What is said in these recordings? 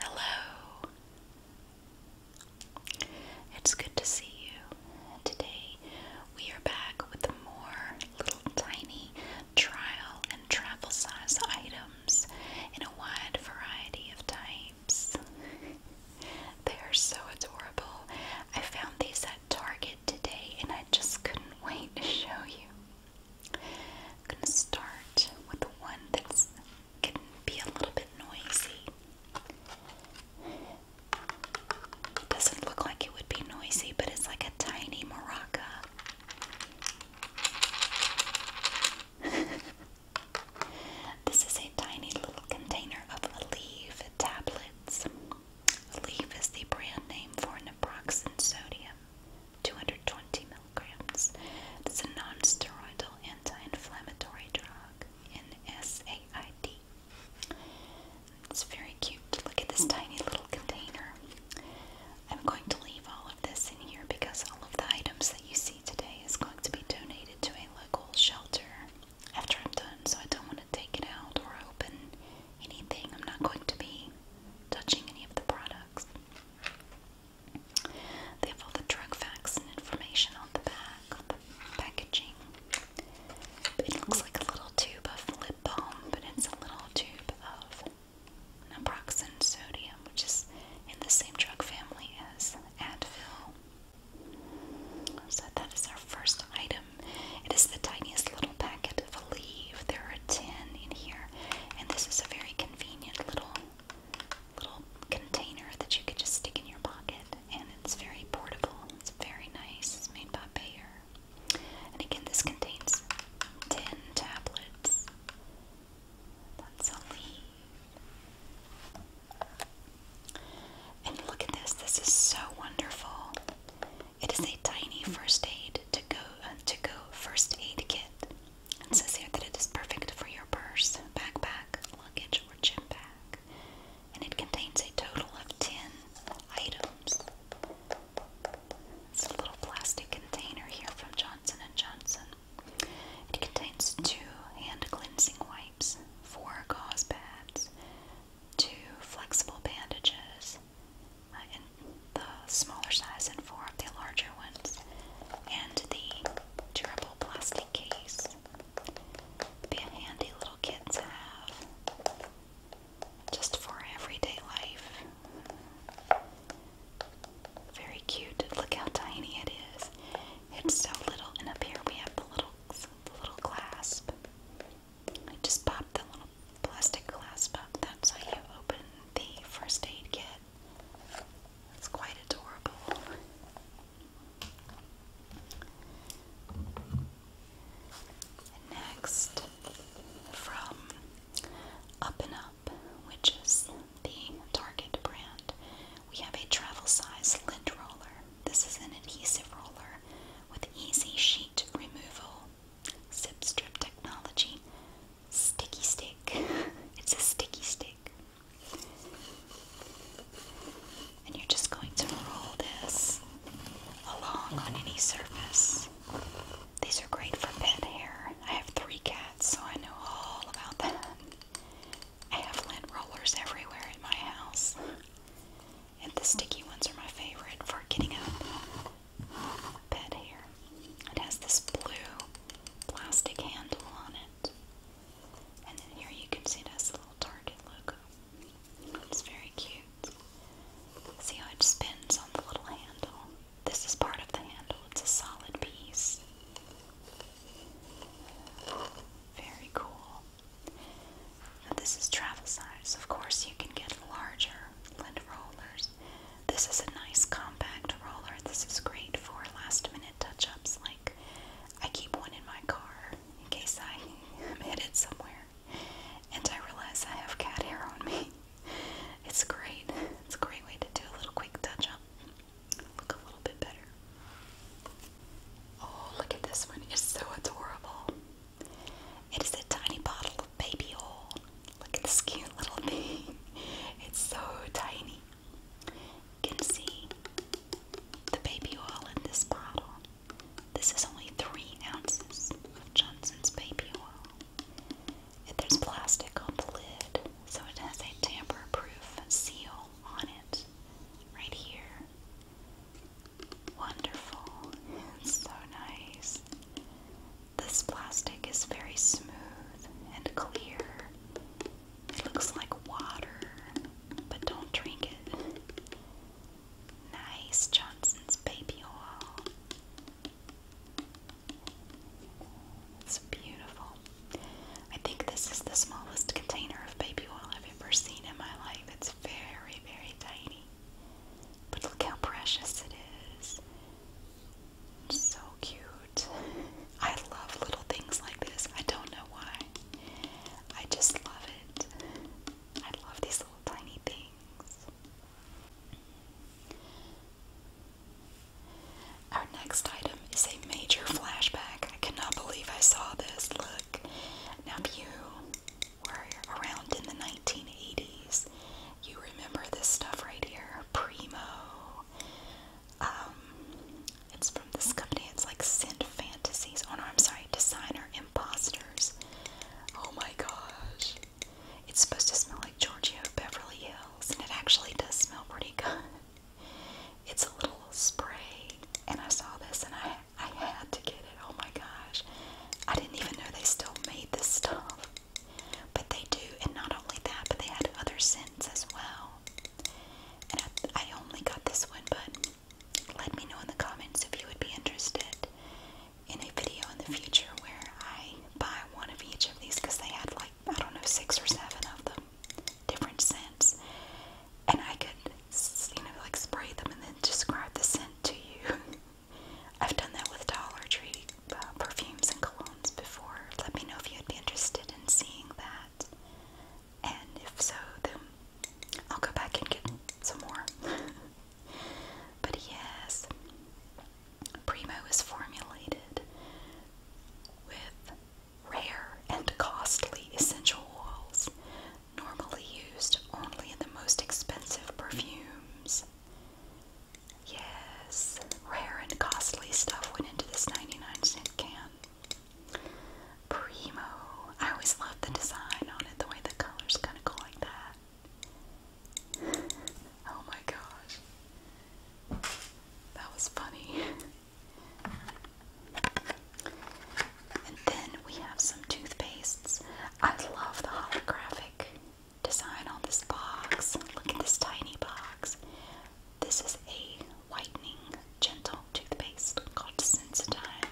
Hello. It's good to see you. Today we are back with more little tiny trial and travel size items in a wide variety of types. they are so adorable. I found these at Target today and I just couldn't wait to show you. I'm gonna start with the one that's can be a little bit noisy. doesn't look like it would be noisy, but it's like a tiny maraca. this is a tiny little container of Aleve tablets. Aleve is the brand name for naproxen sodium. 220 milligrams. It is a non-steroidal anti-inflammatory drug in SAID. It's very cute. Look at this tiny little container. I'm going to leave all of this in here because all of the items that you see today is going to be donated to a local shelter after I'm done, so I don't want to take it out or open anything. I'm not going to be touching any of the products. They have all the drug facts and information on the back, on the packaging. It looks like a little tube of lip balm, but it's a little tube of naproxen sodium, which is in the same drug family as Advil. So that is our first item. It is the tiniest little packet of a leaf. There are 10 in here. And this is a very convenient little little container that you could just stick in your pocket and it's very portable. It's very nice. It's made by Bayer. And again this contains 10 tablets. That's a And look at this. This is so wonderful. It is a tiny first aid to go uh, to go first aid kit. It says here that it is perfect for your purse, backpack, luggage, or gym bag, and it contains a total of 10 items. It's a little plastic container here from Johnson & Johnson. It contains two hand cleansing wipes, four gauze pads, two flexible bandages, in the smaller size and four of the larger ones, and the durable plastic case. Be a handy little kit to have just for everyday life. Very cute. Look how tiny it is. It's so little, and up here we have the little, the little clasp. I just pop the plastic glass cup. That's how you open the first aid kit. It's quite adorable. next, from Up Up, which is the Target brand, we have a travel size lint roller. This is an adhesive roller with easy sheet removal, zip strip technology, sticky stick. it's a sticky stick. And you're just going to roll this along on any surface. These are great for pet hair. I have three cats, so I know all about them. I have lint rollers everywhere in my house. And the sticky ones are my favorite for getting up pet hair. It has this blue plastic handle on it. And then here you can see it has a little Target logo. It's very cute. See how it spins on the little handle? This is part of the handle, it's a solid piece. Very cool. this is travel size. Of course, you can get larger lint rollers, this is a nice compact roller. This is great for last minute touch ups. Like, I keep one in my car in case I am headed somewhere and I realize I have cat hair on me. It's great. It's a great way to do a little quick touch up. Look a little bit better. Oh, look at this one. It's so adorable. It is a tiny bottle baby oil. Look at this cute little thing. It's so tiny. You can see the baby oil in this bottle. This is only three ounces of Johnson's baby oil. there's plastic on the lid, so it has a tamper-proof seal on it. Right here. Wonderful. It's so nice. This plastic is very smooth and clear. It looks like water, but don't drink it. Nice Johnson's baby oil. It's beautiful. I think this is the smallest container of baby oil I've ever seen in my life. It's very, very tiny. But look how precious it is. So cute. I love little things like this. I don't know why. I just love it. I love these little tiny things. Our next item is a major flashback. I cannot believe I saw this. Look. Now, you were around in the 1980s, you remember this stuff right here, Primo. Um, it's from this company. It's like Send Fantasies. Oh no, I'm sorry, Designer Imposters. Oh my gosh. It's supposed to smell like Giorgio Beverly Hills, and it actually does smell pretty good. It's a little spray, and I saw this and I I had to get it. Oh my gosh. I didn't even know they still made this stuff. But they do, and not only that, but they had other scents as well. And I, I only got this one, but let me know in the comments if you would be interested in a video in the future where I buy one of each of these because they had like, I don't know, six or seven of them, different scents. And I could, you know, like spray them and then describe the scent to you. I've done that with Dollar Tree uh, perfumes and colognes before. Let me know if you'd be interested in seeing that. And if so, then I'll go back and get some more. but yes, Primo is formulated with rare and costly essential oils normally used only in the most expensive perfumes. Yes, rare and costly stuff went into this 99 cent can. Primo. I always loved the design on it, the way the colors kind of go like that. Oh my gosh. That was funny. And then we have some toothpastes. I love the holographic design on this box. Look at this tiny box. This is a whitening gentle toothpaste called Sensodyne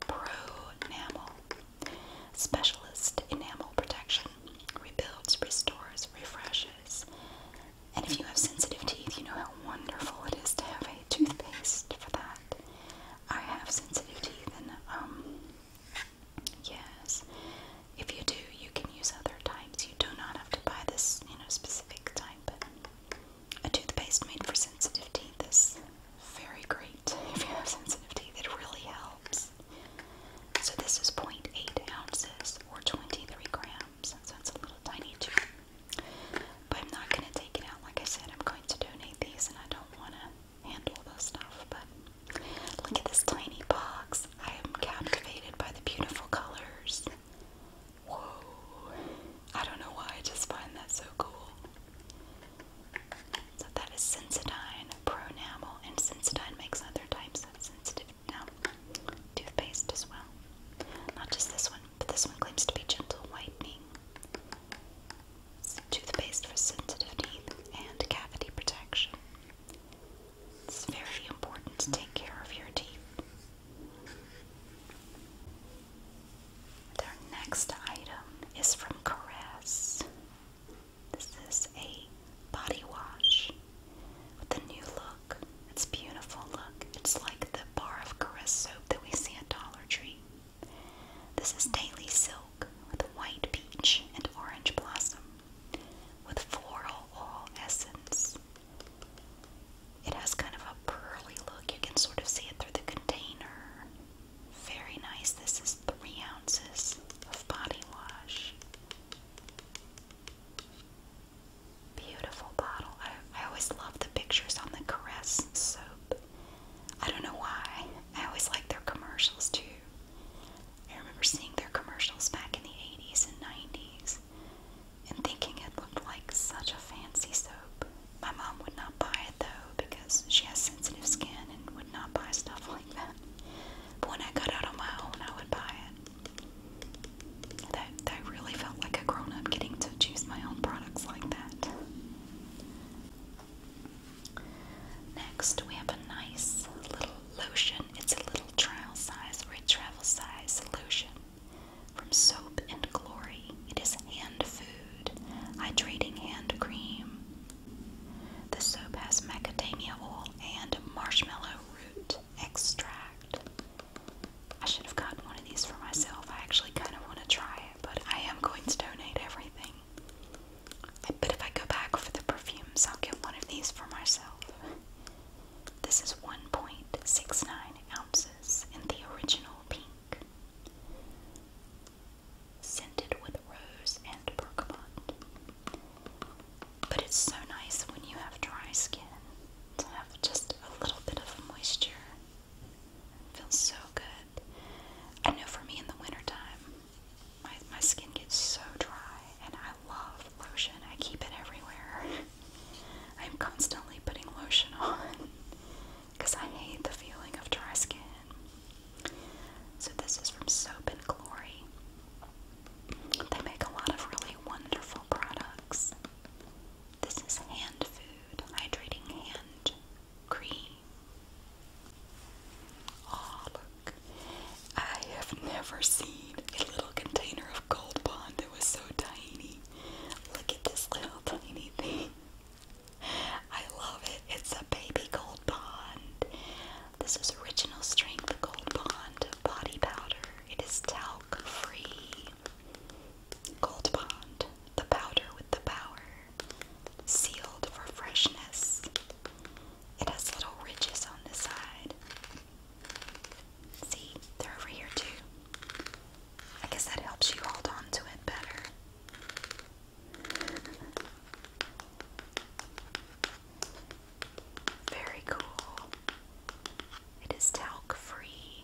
Pro Enamel. Specialist enamel protection. Rebuilds, restores, refreshes. And if you have sensitive teeth, you know how wonderful it is to have a toothpaste for that. I have sensitive teeth and um Yes. If you do, you can use other types. You do not have to buy this, you know, specific type, but a toothpaste made for sensitive teeth is very great if you have sensitive teeth. It really helps. So this is 0.8 ounces or 23 grams, so it's a little tiny tube. But I'm not going to take it out. Like I said, I'm going to donate these, and I don't want to handle this stuff, but look at this tiny box. I am captivated by the beautiful colors. Whoa. I don't know why, I just find that so cool. So that is Sensodyne, Pronamel, and Sensodyne makes other types of sensitive toothpaste as well. Not just this one, but this one claims to be gentle whitening. toothpaste for sensitive teeth and cavity protection. It's very important to take care of your teeth. Their next item is from Caress. This is a body wash with a new look. It's beautiful look. It's like the bar of Caress soap that we see at Dollar Tree. This is Daily Silk with white peach and orange blossom with floral oil essence. It has kind of a pearly look. You can sort of see it through the container. Very nice. This is three ounces of body wash. Beautiful bottle. I, always love the pictures on the Caress soap. I don't know why. I always like their commercials too. I remember seeing their commercials back in the 80s and 90s and thinking it looked like such a fancy soap. My mom would not buy it though because she has sensitive skin and would not buy stuff like that. But when I got out on my own, I would buy it. That, that really felt like a grown up getting to choose my own products like that. Next, we have a nice little lotion. It's a little trial size or a travel size lotion from Soap and Glory. It is hand food, hydrating hand cream. The soap has macadamia oil and marshmallow root extract. I should have gotten one of these for myself. I actually kind of want to try it, but I am going to donate everything. I if I go back for the perfumes, I'll get one of these for myself. This is 1.69 ounces in the original pink, scented with rose and bergamot. But it's so nice when you have dry skin to have just a little bit of moisture. feels so good. I know for me in the wintertime, my, my skin gets so dry and I love lotion. I keep it everywhere. I'm constantly putting lotion on because I hate the feeling of dry skin. So this is from Soap and Glory. They make a lot of really wonderful products. This is hand food, hydrating hand cream. Oh, look. I have never seen a little container of Gold Bond that was so tiny. Look at this little tiny thing. I love it. It's a baby Gold Bond. This is original strength Gold Bond body powder. It is talc free. Gold Bond, the powder with the power. Sealed for freshness. It has little ridges on the side. See, they're over here too. I guess that helps you hold on it better. Very cool. It is talc free.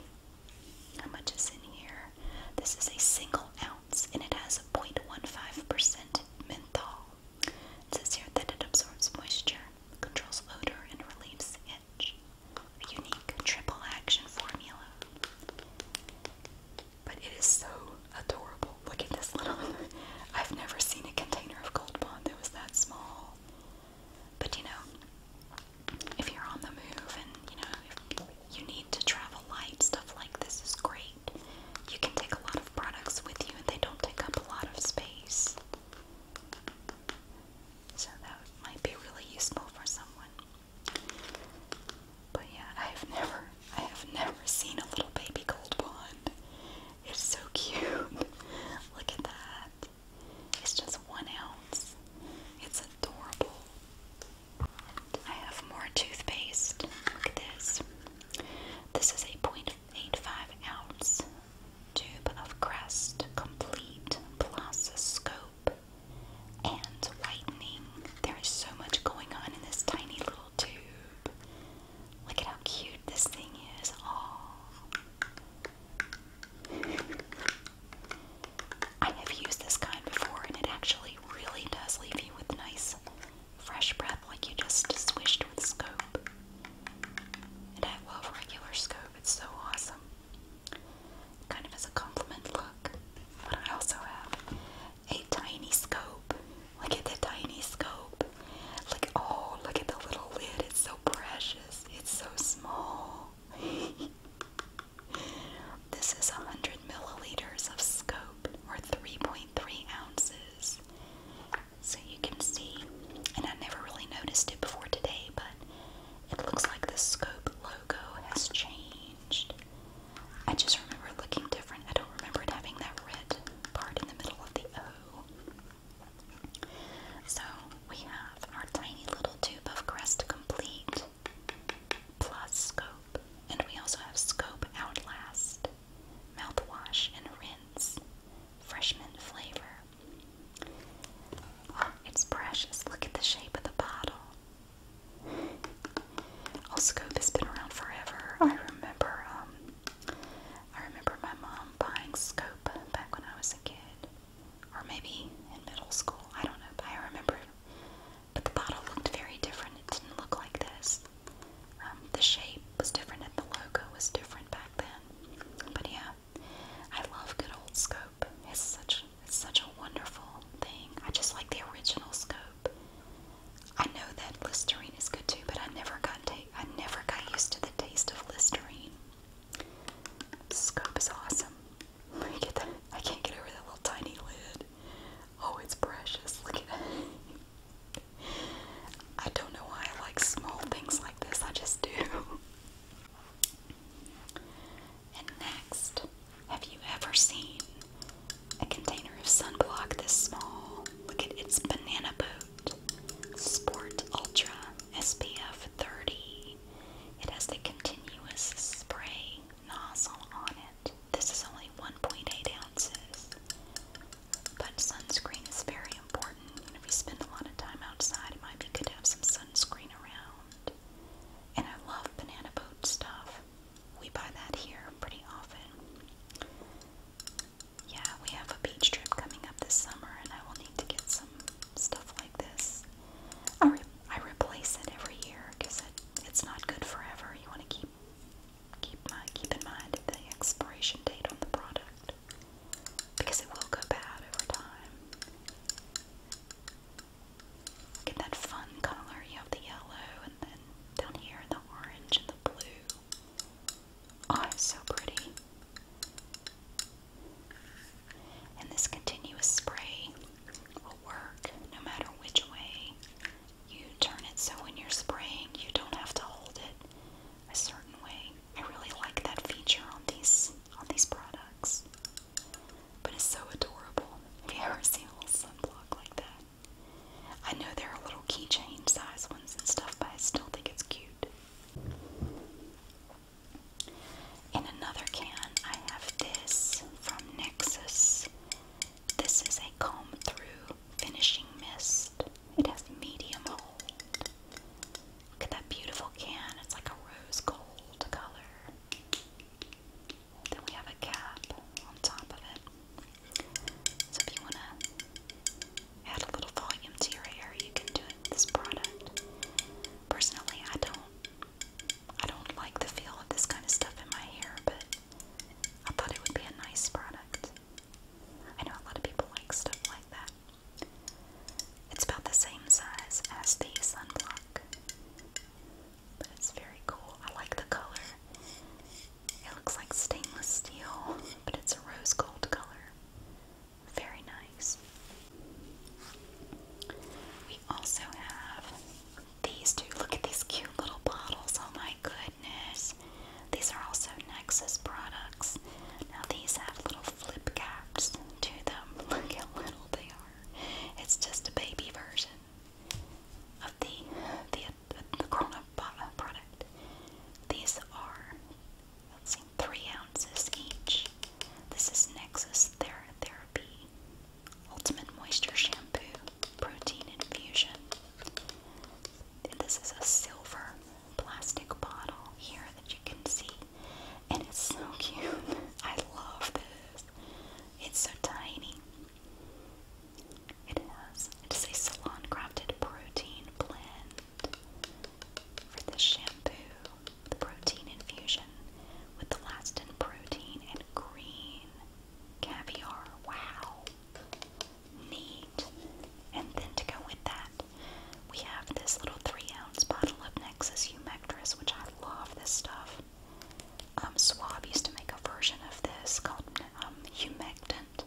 How much is in here? This is a single ounce and it has 0.15% menthol. It says here that it absorbs moisture, controls odor, and relieves itch. A unique triple action formula. But it is so adorable. Look at this little. I've never seen a container of Gold Bond that was that small. But you know, if you're on the move and you know, you need to travel light, stuff like this is great. You can take a lot of products with you and they don't take up a lot of space. So that might be really useful for someone. But yeah, I have never, I have never seen a little baby gold wand. It's so cute. Look at that. It's just one ounce. It's adorable. I have more toothpaste. Look at this. This is a 0.5 ounce tube of Crest Complete plus scope and whitening. There is so much going on in this tiny little tube. Look at how cute this thing is. Oh. I have used this kind before and it actually really does leave you with nice Fresh breath like you just swished with scope. And I love regular scope, it's so awesome. Kind of as a compliment look. But I also have a tiny scope. Look at the tiny scope. Like, oh, look at the little lid. It's so precious. It's so small. this is 100 milliliters of scope, or 3.3 ounces. So you can see, and I never really noticed it before today, but it looks like the scope logo has changed. I just remember looking different. I don't remember it having that red part in the middle of the O. So we have our tiny little tube of crest complete plus scope, and we also have scope outlast mouthwash and rinse, freshman flavor. Oh, it's precious. Look at the shape of the bottle. Oscope has been around forever. I remember, um, I remember my mom buying Scope back when I was a kid, or maybe in middle school. I don't know, but I remember. But the bottle looked very different. It didn't look like this. Um, the shape was different and the logo was different back then. But yeah, I love good old scope. It's such such a wonderful thing. I just like the original scope. I know that Listerine is good too, but I never got ta I never got used to the taste of Listerine. Scope is awesome. I get that. I can't get over that little tiny lid. Oh, it's precious. Look at it. I don't know why I like small things like this, I just do. and next, have you ever seen a container of sunblock this small? Look at its banana boat. Sport Ultra SPF 30. It has a continuous spray nozzle on it. This is only 1.8 ounces. But sunscreen is very important. You know, if you spend a lot of time outside, it might be good to have some sunscreen around. And I love banana boat stuff. We buy that here pretty often. Yeah, we have a beach trip coming up this summer, and I will need to get some stuff like this. I, re I replace it every year because it, it's not good forever. You want to keep keep, my, keep in mind the expiration date on the product because it will go bad over time. Get that fun color, you have the yellow and then down here the orange and the blue. Oh, so pretty. And this continuous spray will work no matter which way you turn it so when you're spraying, you don't have to hold it a certain way. I really like that feature on these on these products. But it's so adorable. Have you ever seen a little sunblock like that? I know there are little keychain size ones and stuff, but I still think it's cute. In another can, I have this from Nexus this is a comb through finishing mist. It has medium hold. Look at that beautiful can. It's like a rose gold color. Then we have a cap on top of it. So if you want to add a little volume to your hair, you can do it with this product. Personally, I don't I don't like the feel of this kind of stuff in my hair, but I thought it would be a nice product. I know a lot of people like stuff like that. It's about the same size as the sunblock, but it's very cool. I like the color. It looks like stainless steel, but it's a rose gold color. Very nice. We also have these two. Look at these cute little bottles. Oh my goodness. These are also Nexus products. Now, these have little flip caps to them. Look how little they are. It's just a baby version of the, the, the grown up product. These are, three ounces each. This is Nexus Thera Ultimate Moisture Shampoo Protein Infusion. This is a silver plastic bottle here that you can see, and it's so cute. I love this. It's so tiny. It has it's a salon crafted protein blend for this shampoo, the protein infusion with elastin protein and green caviar. Wow neat. And then to go with that, we have this little three ounce bottle of Nexus Humectress, which I love this stuff. Um, Swab used to make a version of this called um, Humectant.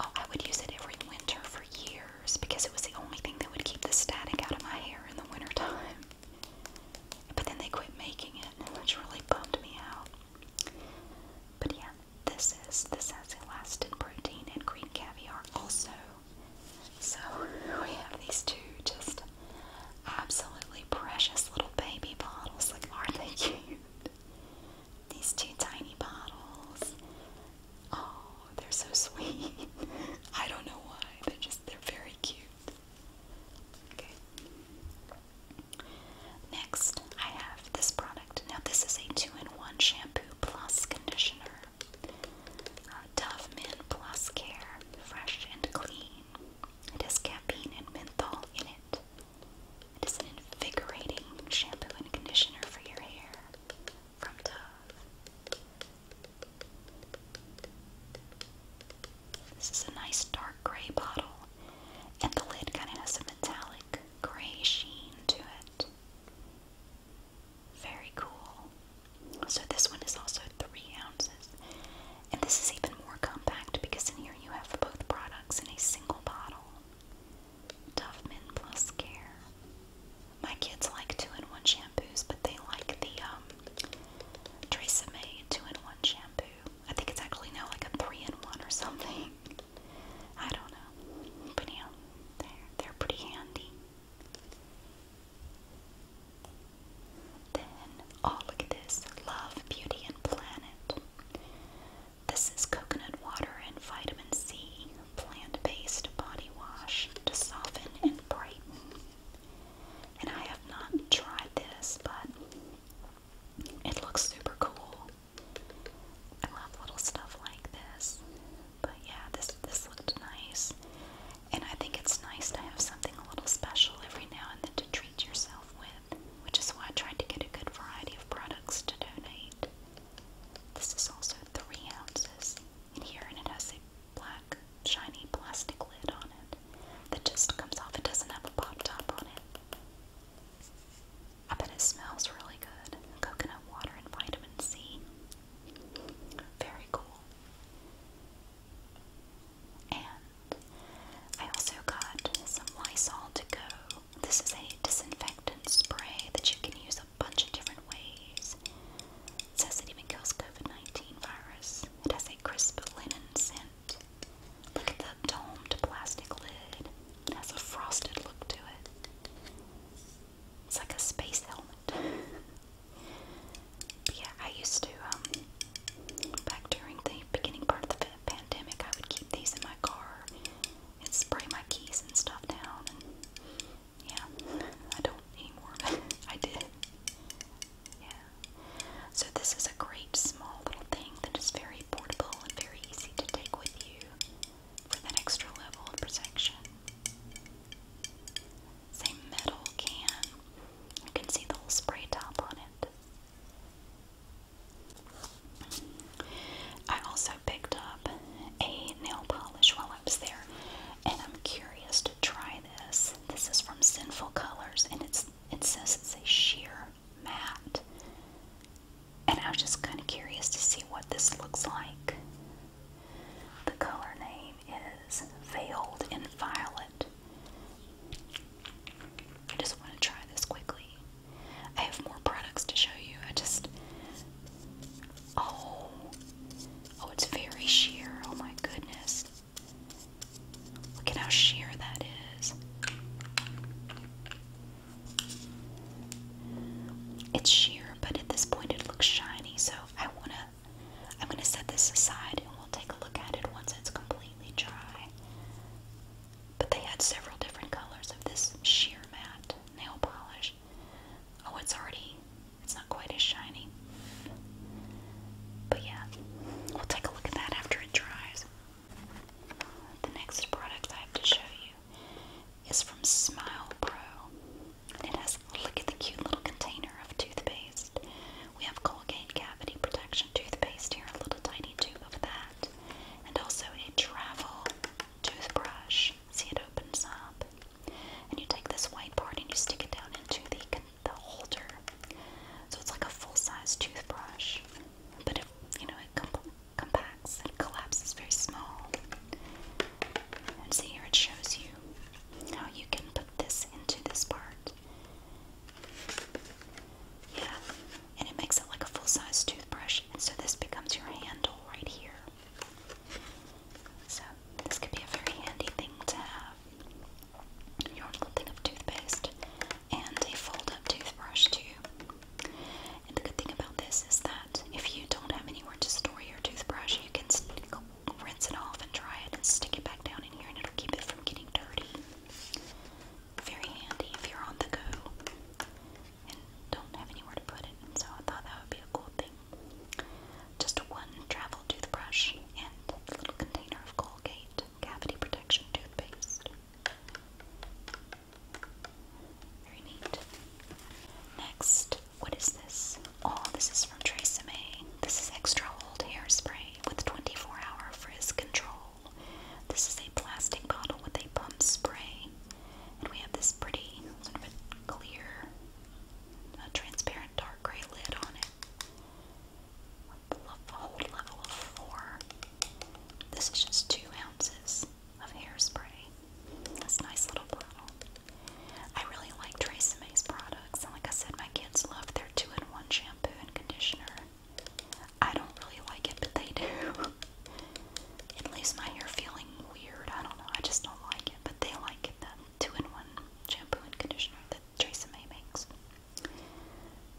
Oh, I would use it every winter for years because it was the only thing that would keep the static out of my hair in the wintertime. But then they quit making it, which really bummed me out. But yeah, this is this has elastin protein and green caviar also. So we have these two just absolutely precious little baby bottles. Like aren't they cute? These two tiny bottles. Oh, they're so sweet. I don't know why, but just they're very cute. Okay. Next, I have this product. Now, this is a two in one shampoo plus conditioner. Uh, Dove Mint Plus Care, fresh and clean. It has caffeine and menthol in it. It is an invigorating shampoo and conditioner for your hair from Dove. This is a nice dark gray bottle, and the lid kind of has a metallic gray sheen to it. Very cool. So this one is also three ounces. And this is even more compact because in here you have both products in a single bottle. Duffman Plus Care. My kids like two-in-one shampoos, but they like the um, Tresemme two-in-one shampoo. I think it's actually now like a three-in-one or something. I don't know. But yeah, they're, they're pretty handy. Then, oh, look at this Love, Beauty, and Planet. This is coconut water and vitamin C plant based body wash to soften and brighten. And I have not tried this, but it looks super cool. I love little stuff like this. But yeah, this this looked nice. And I think it's nice to have something a little special every now and then to treat yourself with, which is why I tried to get a good variety of products to donate. This is also three ounces in here, and it has a black, shiny plastic lid on it that just comes off. It doesn't have a pop top on it. I bet it smells really good. Coconut water and vitamin C. Very cool. And I also got some Lysol to go. This is a disinfectant spray that you can use a bunch of different ways. says it even kills COVID 19 virus. It has a crisp linen scent. Look at that domed plastic lid. It has a frosted look to it. It's like a space helmet. yeah, I used to, um, back during the beginning part of the pandemic, I would keep these in my car and spray my keys and stuff down. yeah, I don't anymore, I did. Yeah. So this is a great small little thing that is very portable and very easy to take with for that extra level of protection. It's metal can. You can see the spray top on it. I also picked up a nail polish while I was there, and I'm curious to try this. This is from Sinful Colors, and it's it says it's a sheer matte. And I was just kind of curious to see what this looks like. The color name is Veiled in Violet. I just want to try this quickly. I have more products to show you. I just. Oh. Oh, it's very sheer. Oh my goodness. Look at how sheer that is. It's sheer, but at this point it looks shiny, so I wanna I'm gonna set this aside and we'll take a look at it once it's completely dry. But they had several different colors of this sheer matte nail polish. Oh, it's already it's not quite as shiny. But yeah, we'll take a look at that after it dries. The next product I have to show you is from Smile Pro. And it has, look at the cute little container of toothpaste. We have Colgate Cavity Protection toothpaste here, a little tiny tube of that. And also a travel toothbrush. See, it opens up. And you take this white part and you stick it down into the, the holder. So it's like a full size toothbrush. But it, you know, it compacts and collapses very small. And see here it shows you how you can put this into this part. Yeah, and it makes it like a full-size toothbrush, and so this becomes your handle right here. So this could be a very handy thing to have. Your little thing of toothpaste and a fold up toothbrush too. And the good thing about this is that if you don't have anywhere to store your toothbrush, you can rinse it off and dry it and stick it back down in here and it'll keep it from getting dirty. Very handy if you're on the go and don't have anywhere to put it. so I thought that would be a cool thing. Just one travel toothbrush and a little container of Colgate cavity protection toothpaste. Very neat. Next, what is this? Oh, this is from Tresemme. This is extra hold hairspray with 24-hour frizz control. This is a plastic bottle with a pump spray, and we have this pretty sort of clear, transparent dark gray lid on it. A whole level four. This is just two ounces of hairspray. This nice little bottle. I really like Tracemay's products, and like I said, my kids love their two-in-one shampoo and conditioner. I don't really like it, but they do. it leaves my hair feeling weird. I don't know. I just don't like it, but they like the two-in-one shampoo and conditioner that Tracy May makes.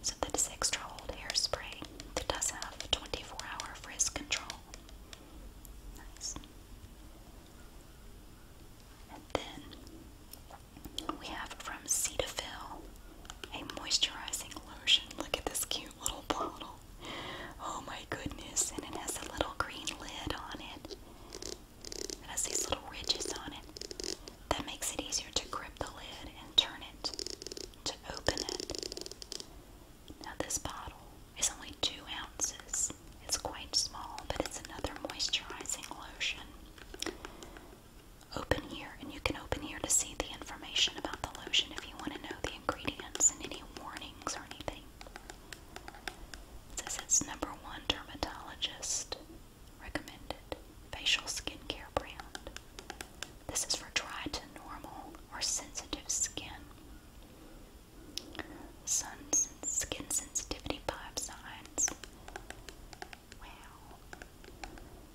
So that is extra old hairspray that does have 24 hour frizz control. Nice. And then we have from Cetaphil a moisturizing lotion. Look at this cute little bottle. Oh my goodness. And it has a little green lid on it. It has these little ridges on it. That makes it easier to grip the lid and turn it to open it. Now, this bottle is only two ounces. It's quite small, but it's another moisturizing lotion. Open here, and you can open here to see the information about the lotion if you want to know the ingredients and any warnings or anything. It says it's number one dermatologist recommended facial skincare brand. This is for dry to normal or sensitive skin. Sun skin sensitivity five signs. Wow.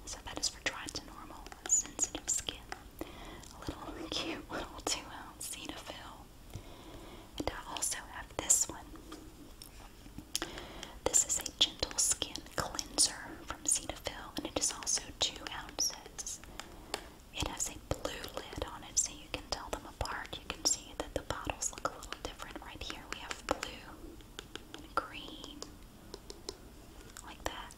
So that is for dry to normal sensitive skin. A little cute little two ounce Cetaphil. And I also have this one. This is a Gentle Skin Cleanser from Cetaphil, and it is also two ounces. It has a blue lid on it, so you can tell them apart. You can see that the bottles look a little different. Right here, we have blue and green, like that.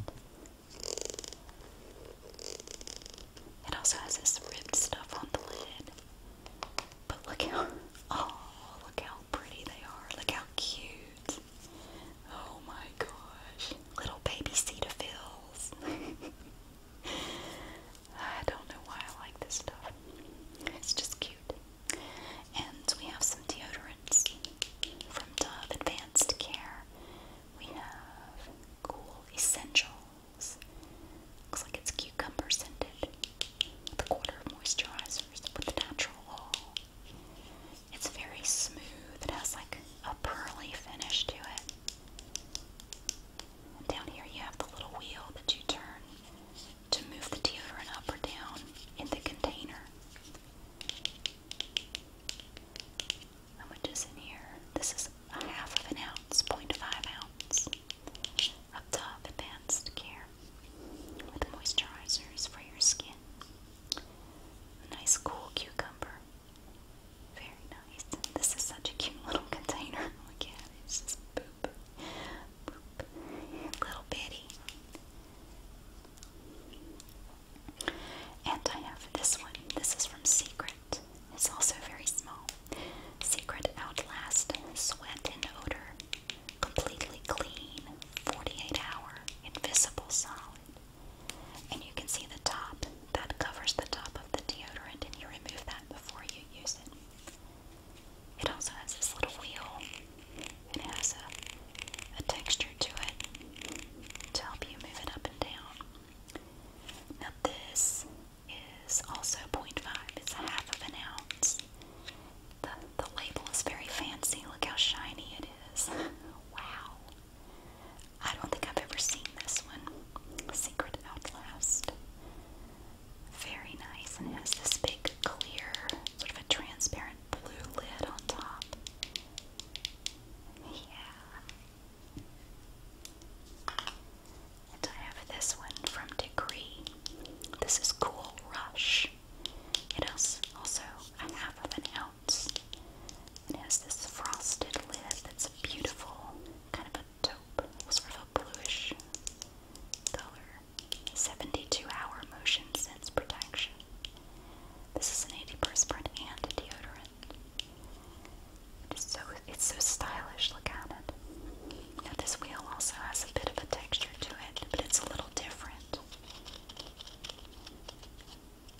It also has this ribbed stuff on the lid. But look how, oh, look how pretty they are. Look how cute. Oh my gosh. Little baby cedar fills. I don't know why I like this stuff. It's just cute. And we have some deodorants from Dove Advanced Care. We have Cool Essentials. Looks like it's cucumber scented. The quarter of with natural oil. It's very smooth. It has like a pearly finish to it. down here you have the little wheel that you turn to move the deodorant up or down in the container. How much in here? This is a half of an ounce, 0.5 ounce. Up top, advanced care with moisturizers for your skin. Nice cool cucumber. Very nice. This is such a cute little container. Look oh It's just boop. Boop. Little bitty. And I have this one. This is from Secret. It's also very small. Secret Outlast Sweat and Odor. Completely clean. 48 hour. Invisible solid. And you can see the top that covers the top of the deodorant, and you remove that before you use it. It also has this little wheel, it has a, texture to it to help you move it up and down. Now, this is also 0.5, it's a half of an ounce. The, label is very fancy. Look how shiny it is. Wow. I don't think I've ever seen this one. Secret Outlast. Very nice, and it has this big clear, sort of a transparent blue lid on top. Yeah. And I have this one from Degree. This is Cool Rush. It also, also I have an it has this frosted lid that's beautiful, kind of a taupe, sort of a bluish color. 72 hour motion sense protection. This is an antiperspirant and a deodorant. It's so, it's so stylish, look at it. Now this wheel also has a bit of a texture to it, but it's a little different.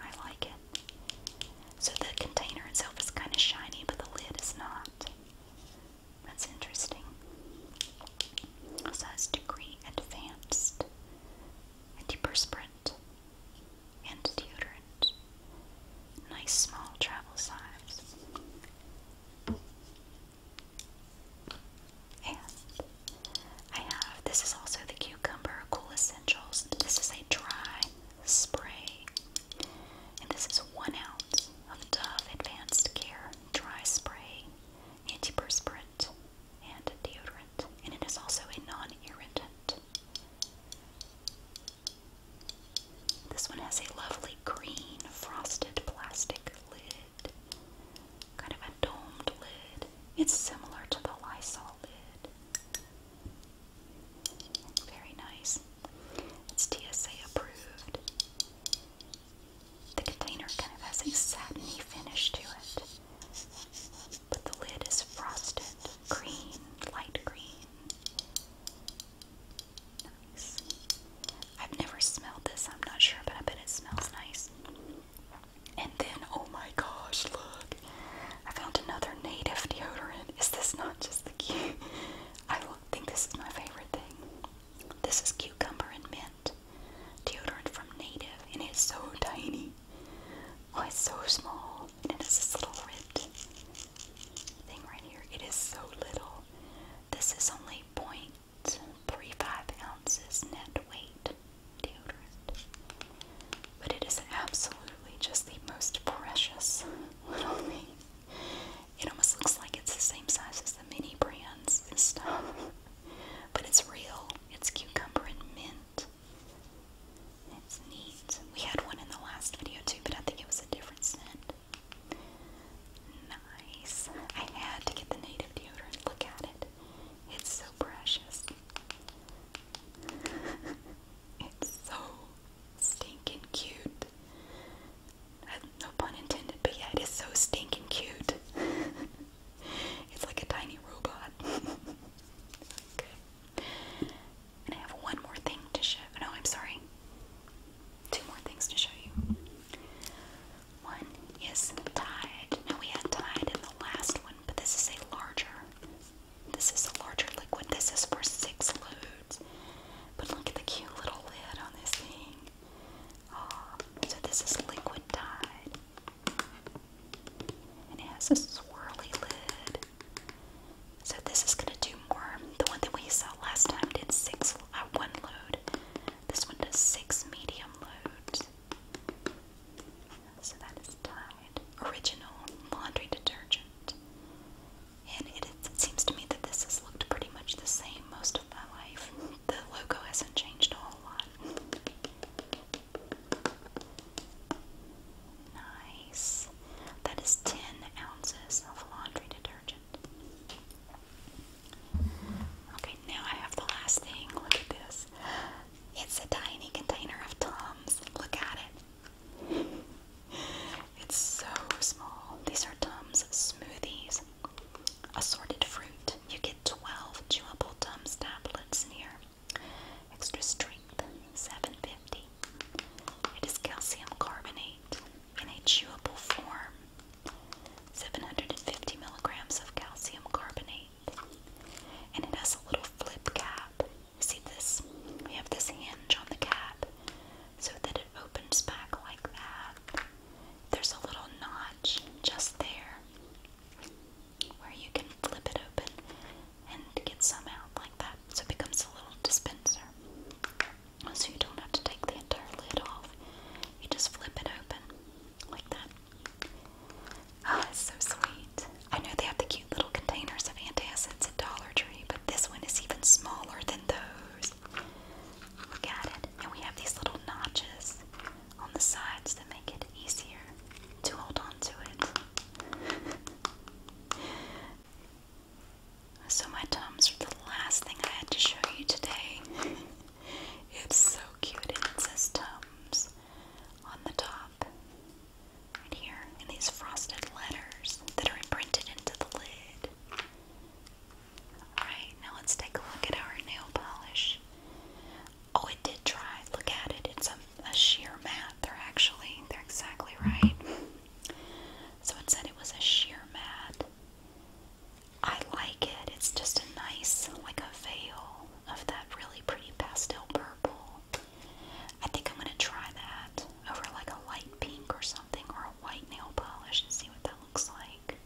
I like it. So the container itself is kind of shiny, but the lid is not. That's interesting. So degree advanced, antiperspirant, and deodorant. Nice small travel size. And I have this is also the Cucumber Cool Essentials. This is a dry spray. And this is one ounce of Dove Advanced Care Dry Spray, Antiperspirant, and Deodorant. And it is also a non irritant. This one has a lovely green frosted plastic lid kind of a domed lid. It's similar to the Lysol lid. Very nice. It's TSA approved. The container kind of has a satiny finish to it, but the lid is frosted green, light green. Nice. I've never smelled this, I'm not sure, but I bet it smells nice. And then, oh my gosh, look. I found another native deodorant. Is this not just the cute? I think this is my favorite thing. This is cucumber and mint deodorant from Native, and it's so tiny. Oh, it's so small. And it's this little ripped thing right here. It is so little. This is only 0.35 ounces net weight deodorant. But it is absolutely just the most precious little thing. It almost looks like it's the same size as the mini brands and stuff. But it's real. It's cucumber and mint. It's neat. We had one in the last video too, but I think it was a different scent. Nice. I had to get the native deodorant. Look at it. It's so precious. it's so stinking cute. Uh, no pun intended, but yeah, it is so stinking cute. it's like a tiny robot. okay. And I have one more thing to show. No, I'm sorry. Two more things to show you. One Yes, dyed. No, we had dyed in the last one, but this is a larger. This is a larger liquid. This is for six loads. But look at the cute little lid on this thing. Oh, so this is liquid dyed. And it has a swirly lid. So this is gonna do more. The one that we saw last time did six at uh, one load. This one does six medium loads. So that is Tide Original Laundry Detergent. And it seems to me that this has looked pretty much the same most of my life. The logo hasn't changed a whole lot. Nice. That is 10 ounces of laundry detergent. Okay, now I have the last thing. Look at this. It's a tiny container of Tums. Look at it. It's so small. These are Tums smoothies. Assorted fruit. You get 12 chewable Tums tablets in here. Extra strength, 750. It is calcium carbonate in a chewable form. 750 milligrams of calcium carbonate. And it has a little flip cap. See this? We have this hinge on the cap so that it opens back like that. There's a little notch just there where you can flip it open and get some out like that. So it becomes a little dispenser. So you don't have to take the entire lid off. You just flip it open like that. Ah, oh, so sweet. I know they have the cute little containers of antacids at Dollar Tree, but this one is even smaller than those. Look at it. And we have these little notches on the sides that make it easier to hold on it. so, my Tums are the last thing I had to show you today. it's so cute, and it says Tums on the top, right here, and these frosted letters that are imprinted into the lid. Alright, now let's take a look at our nail polish. Oh, it did dry. Look at it. It's a, sheer matte. They're actually, they're exactly right. So it said it was a sheer matte. I like it. It's just a nice, like a veil of that really pretty pastel purple. I think I'm going to try that over like a light pink or something or a white nail polish and see what that looks like.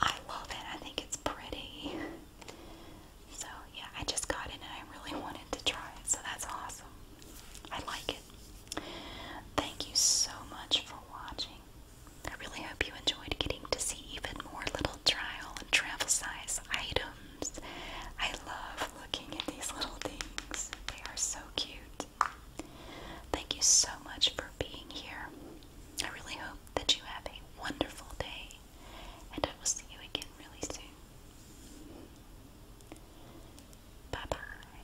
I love it. I think it's pretty. So, yeah, I just got it and I really wanted to try it. So, that's awesome. I like it. Thank you so much for watching. I really hope you enjoyed getting to see even more little trial and travel size items. I love looking at these little things. They are so cute. Thank you so much for being here. I really hope that you have a wonderful day, and I will see you again really soon. Bye bye.